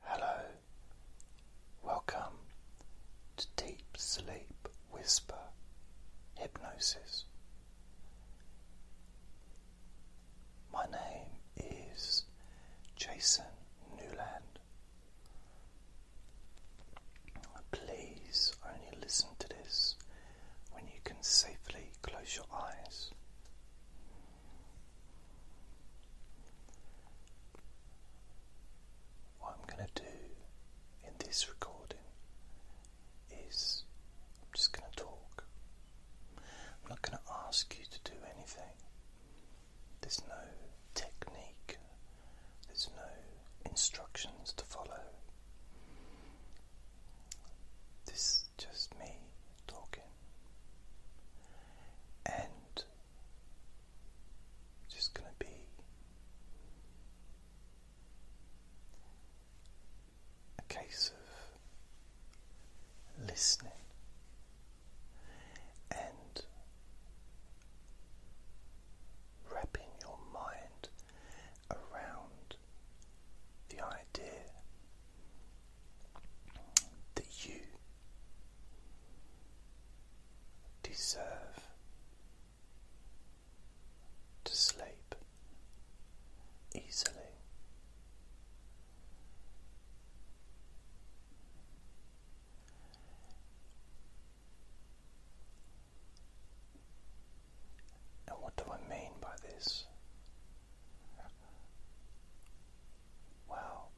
Hello, welcome to Deep Sleep Whisper Hypnosis. My name is Jason Newland. Please only listen to this when you can safely close your eyes. What I'm going to do in this recording is I'm just going to talk. I'm not going to ask you to do anything. There's no technique, there's no instructions to follow. This is just me talking. And it's just going to be a case of listening and wrapping your mind around the idea that you deserve to sleep easily. And what do I mean by this? Well,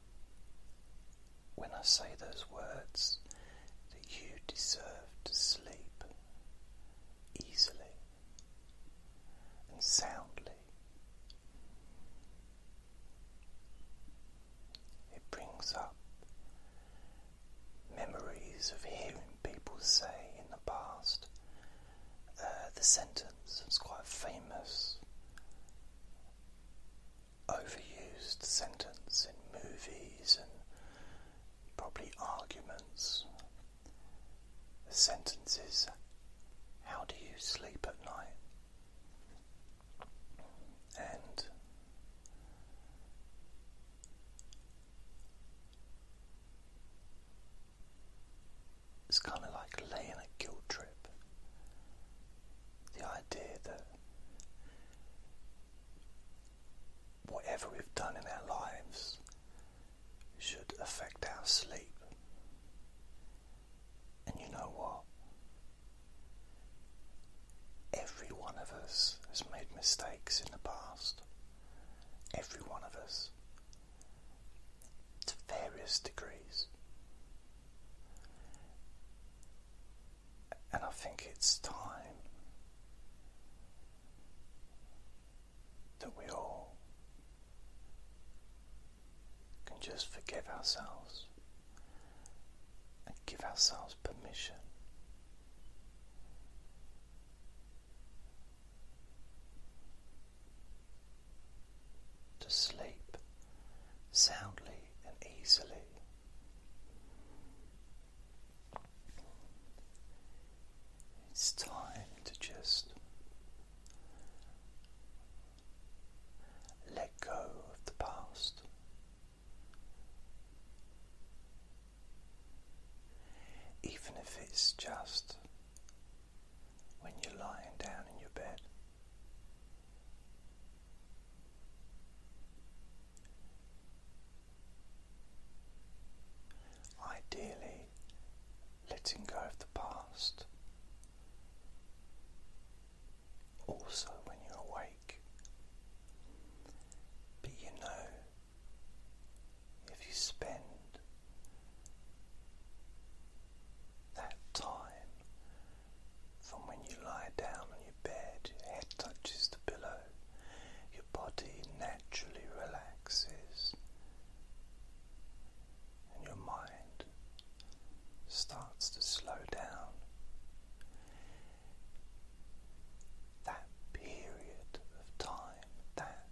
when I say those words, that you deserve to sleep easily and soundly, it brings up memories of hearing people say in the past. Uh, the sentence is quite famous overused sentence in movies and probably arguments. Sentences. How do you sleep at night? And it's kind of like laying a guilt trip the idea that whatever we've done in our lives should affect our sleep. And you know what? Every one of us has made mistakes in the past. Every one of us. To various degrees. And I think it's time that we all can just forgive ourselves and give ourselves permission to sleep soundly and easily. It's time to just let go of the past. Even if it's just when you're lying down in your bed, Ideally, letting go of the past. Also, when you're awake, but you know, if you spend that time from when you lie down on your bed, your head touches the pillow, your body naturally relaxes, and your mind starts to slow down. That period of time, that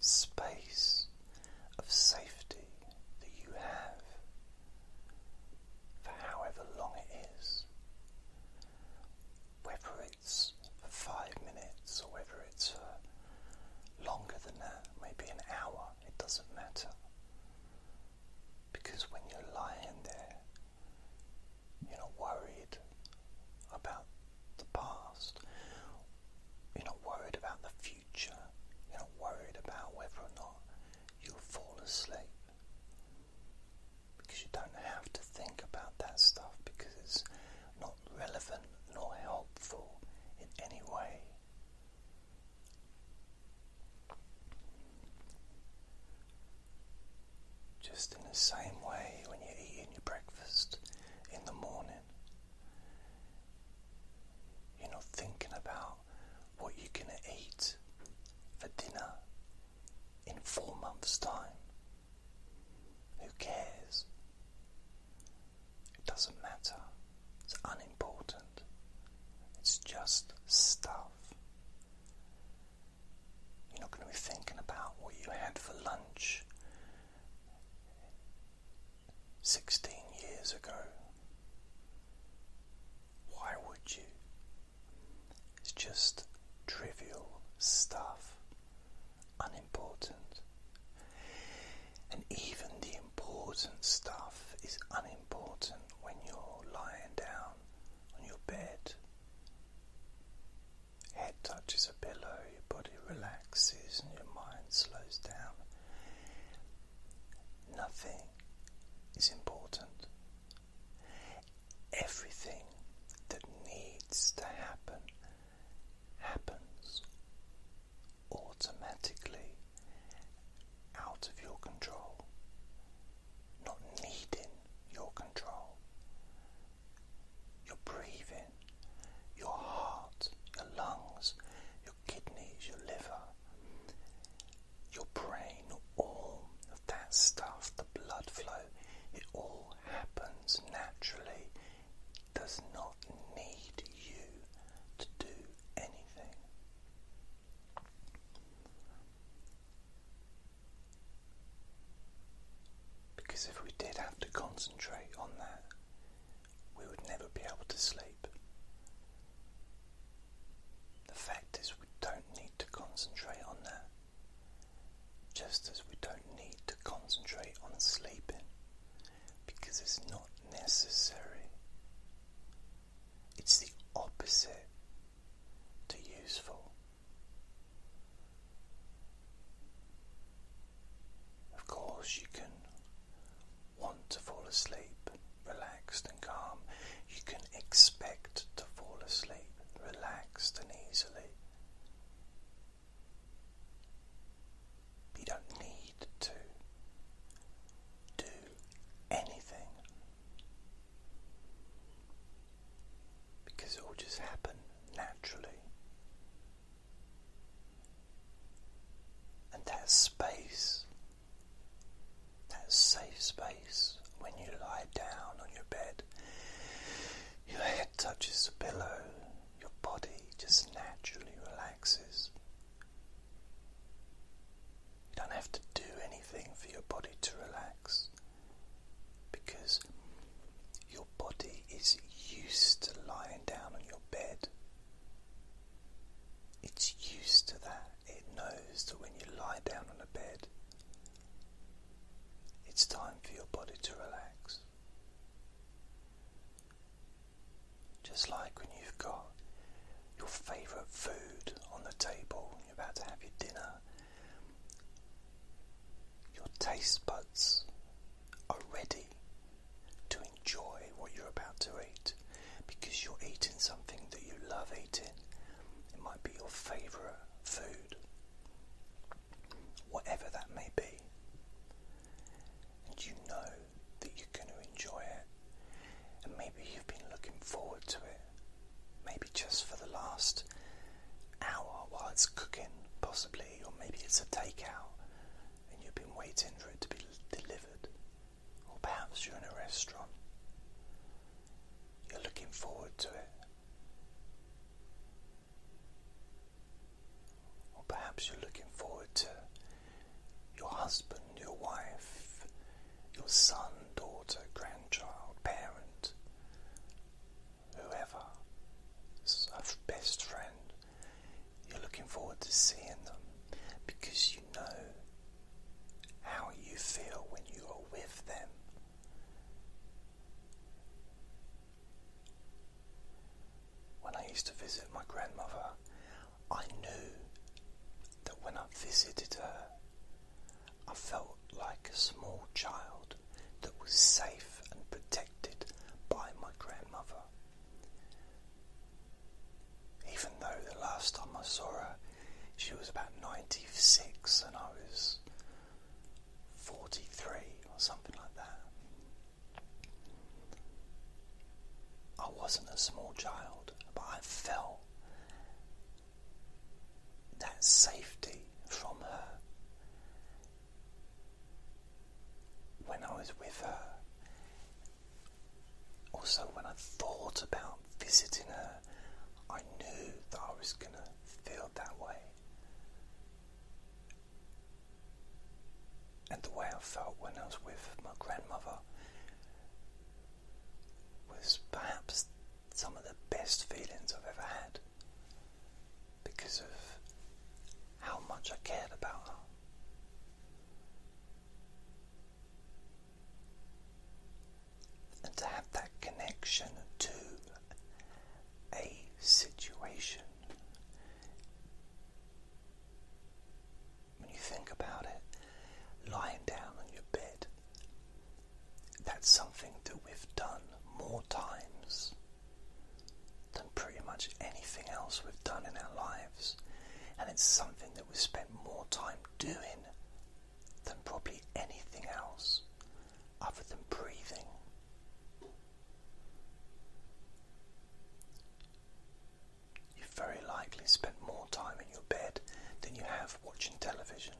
space of safety that you have for however long it is. Whether it's for five minutes or whether it's longer than that, maybe an hour, it doesn't matter. Because when you're lying there, you're not worried about the past, you're not worried about the future. You're not worried about whether or not you'll fall asleep because you don't have to think about that stuff because it's not relevant nor helpful in any way. Just in the same way when you're eating your breakfast in the morning, you're not thinking about what you're going to eat for dinner in four months' time. Who cares? It doesn't matter. It's unimportant. It's just stuff. You're not going to be thinking about what you had for lunch 16 years ago. Why would you? It's just trivial stuff, unimportant. And even the important stuff is unimportant when you're lying down on your bed. Head touches a pillow, your body relaxes, and your mind slows down. Nothing is important. Everything that needs to happen happens automatically out of your control, not needing your control. You're breathing, your heart, your lungs, your kidneys, your liver, your brain, all of that stuff, the blood flow, it all happens naturally. does not need you to do anything. Because if we did have to concentrate on that, we would never be able to sleep. The fact is, we don't need to concentrate on that, just as we don't need to concentrate on sleeping because it's not necessary. It's the opposite to useful. Of course, you can want to fall asleep relaxed and calm, you can expect to fall asleep relaxed and easily. You don't need to do anything because it will just happen naturally. And that space, that safe space, when you lie down on your bed, your head touches the pillow, your body just naturally relaxes. You don't have to do anything for your body to relax because your body is used to lying down on your bed it's used to that. It knows that when you lie down on a bed, it's time for your body to relax. Just like when you've got your favourite food on the table, you're about to have your dinner, your taste buds are ready to enjoy what you're about to eat because you're eating something that you love eating. It might be your favorite food, whatever that may be. And you know that you're going to enjoy it. And maybe you've been looking forward to it. Maybe just for the last hour while it's cooking, possibly, or maybe it's a takeout and you've been waiting for it to be delivered or perhaps you're in a restaurant. You're looking forward to it. Or perhaps you're looking forward to your husband, your wife, your son, daughter, grandchild, parent, whoever, a best friend. You're looking forward to seeing them because you know how you feel when you are with them. When I used to visit my grandmother, I knew that when I visited her, I felt like a small child that was safe and protected by my grandmother. Even though the last time I saw her, she was about 96 and I was 43 or something like that. I wasn't a small child, but I felt that safety from her when I was with her, also, when I thought about visiting her, I knew that I was going to feel that way. And the way I felt when I was with my grandmother was perhaps some of the best feelings I've ever had because of how much I cared about her and to have that connection to a situation. When you think about it, lying down on your bed, that's something that we've done more times than pretty much anything else we've done in our lives, and it's something we spend more time doing than probably anything else other than breathing. You very likely spend more time in your bed than you have watching television.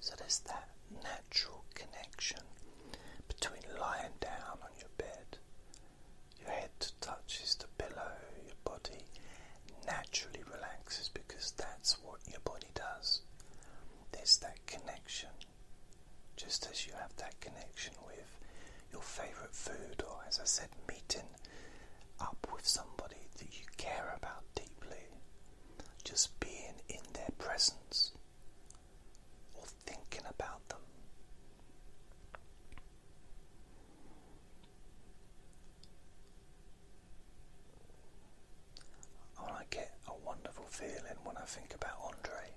So there's that natural connection between lying down on your bed, your head touches the pillow, your body naturally relaxes because that's what your body does. There's that connection. Just as you have that connection with your favourite food, or as I said, meeting up with somebody that you care about deeply, just being in their presence or thinking about them. I get a wonderful feeling when I think about Andre,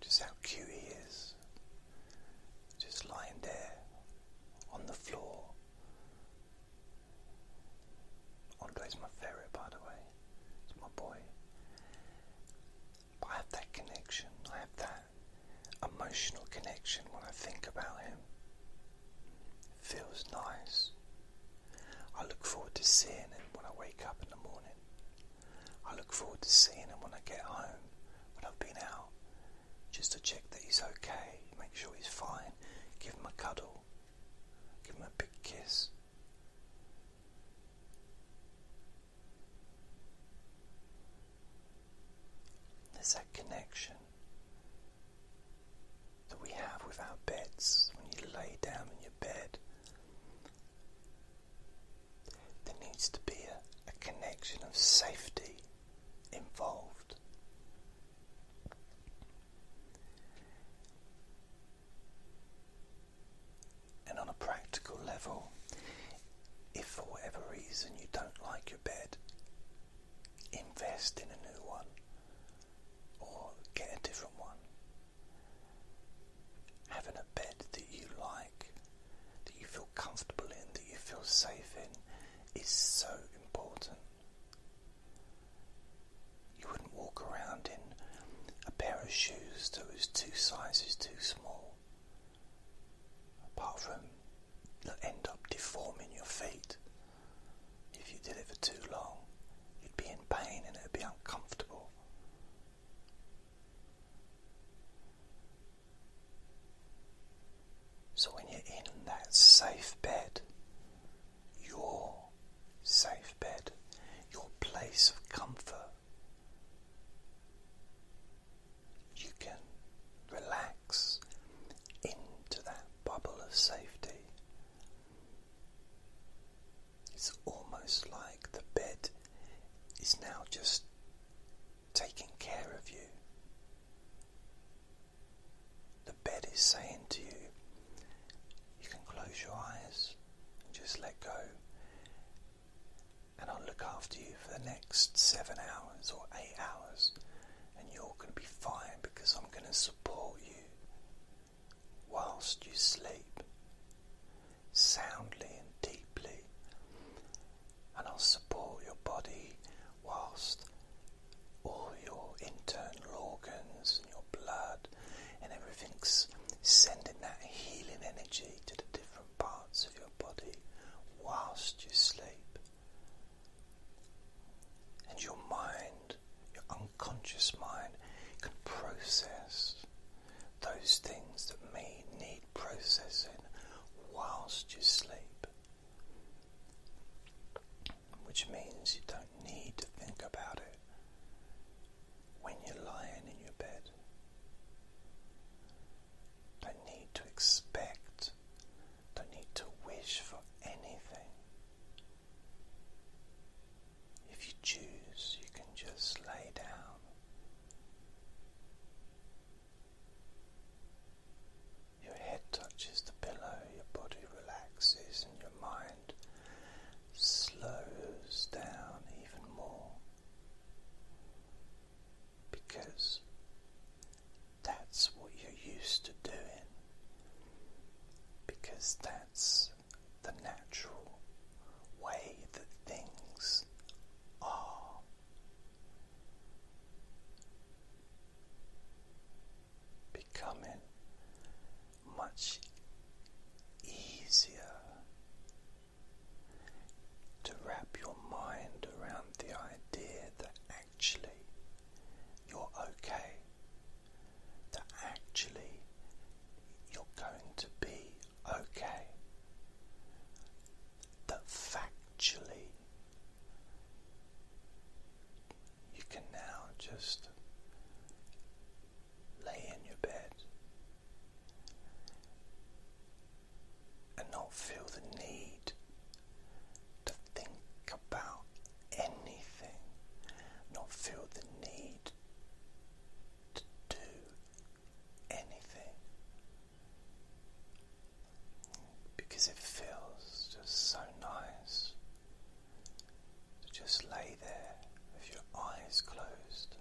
just how cute he is, just lying there on the floor, is my favourite, by the way. It's my boy. I have that connection. I have that emotional connection when I think about him. It feels nice. I look forward to seeing him when I wake up in the morning. I look forward to seeing him when I get home, when I've been out, just to check that he's okay, make sure he's fine, give him a cuddle, Give him a big kiss. There's that connection that we have with our beds when you lay down in your bed. There needs to be a, a connection of safety involved. And on a practical level, if for whatever reason you don't like your bed, invest in a new one or get a different one. Having a bed that you like, that you feel comfortable in, that you feel safe in, is so important. You wouldn't walk around in a pair of shoes that was two sizes too small, apart from you that end up deforming your feet. If you did it for too long, you'd be in pain and it'd be uncomfortable. So, when you're in that safe bed, your safe bed, your place of comfort. You can relax into that bubble of safety. It's almost like the bed is now just taking care of you the bed is saying to you, you can close your eyes and just let go. And I'll look after you for the next seven hours or eight hours, and you're going to be fine because I'm going to support you whilst you sleep soundly and deeply. And I'll support your body whilst all your internal organs and your blood and everything's sending that healing energy to the different parts of your body whilst you sleep. And your mind, your unconscious mind, can process those things that may need processing whilst you sleep which means you don't need to think about it when you're lying in your bed. Don't need to expect, don't need to wish for anything. If you choose, you can just lay down. Your head touches the pillow, your body relaxes, and your mind slows down even more because that's what you're used to doing, because that's the natural way that things are becoming much easier to wrap your mind around the idea that actually you're okay, that actually you're going to be okay, that factually you can now just lay in your bed and not feel the need to think about anything, not feel the need to do anything because it feels just so nice so just lay there with your eyes closed,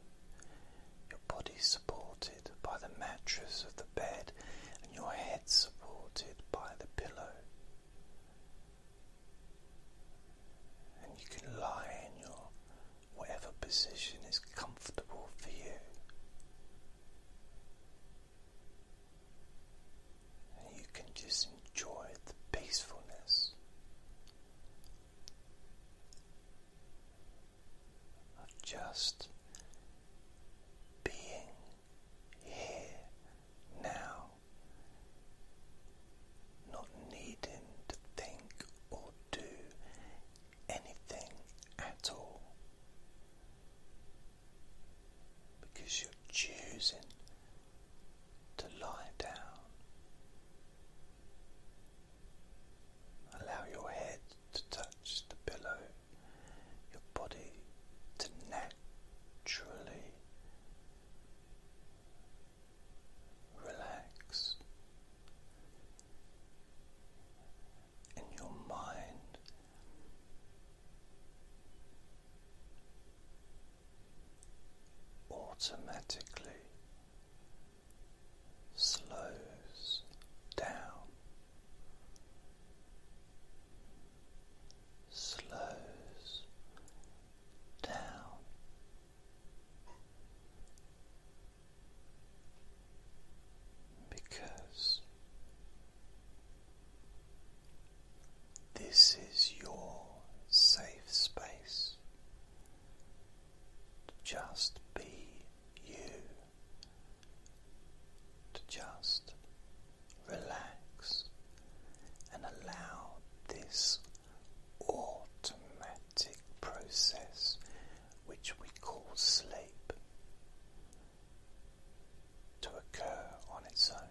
your body supported by the mattress of the bed, and your head supported by the pillow. And you can lie in your whatever position is comfortable for you you can just enjoy the peacefulness of just being here now, not needing to think or do anything at all. Because you're choosing to lie down. Allow your head to touch the pillow, your body to naturally relax, and your mind automatically slows down, slows down. Because this is your safe space. To just be you. To just relax and allow this automatic process, which we call sleep, to occur on its own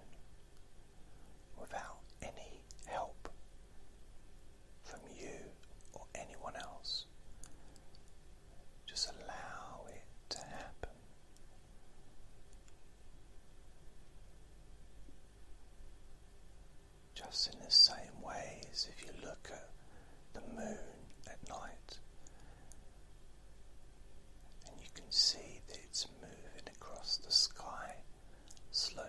without any help from you or anyone else. Just allow it to happen. Just in the same way as if you look at the moon at night and you can see that it's moving across the sky slowly.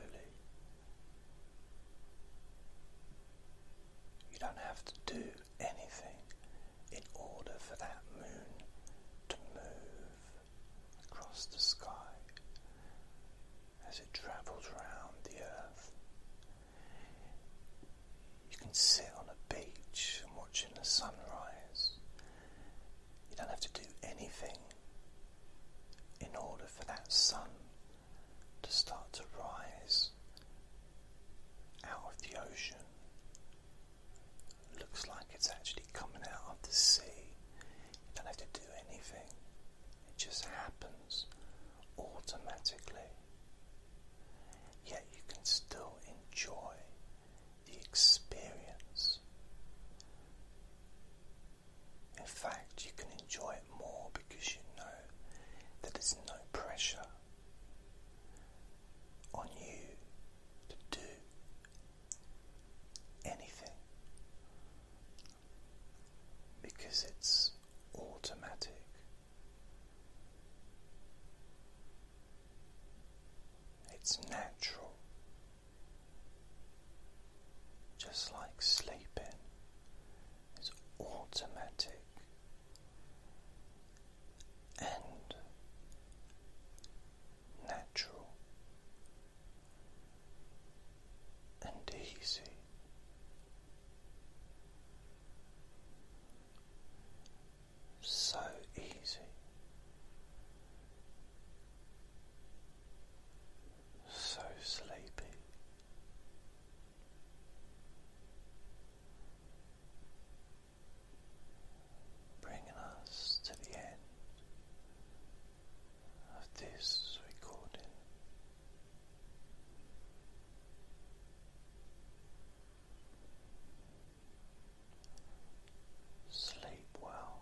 You don't have to do anything in order for that moon to move across the sky as it travels around the earth. You can sit on a beach and watching the sunrise you don't have to do anything in order for that sun to start to rise out of the ocean. Looks like it's actually coming out of the sea. You don't have to do anything, it just happens automatically. Yet you can still enjoy the experience in fact, you can enjoy it more because you know that there's no pressure on you to do anything because it's automatic. It's natural. Just like sleeping is automatic and natural and easy. So easy so sleepy. Bringing us to the end of this recording. Sleep well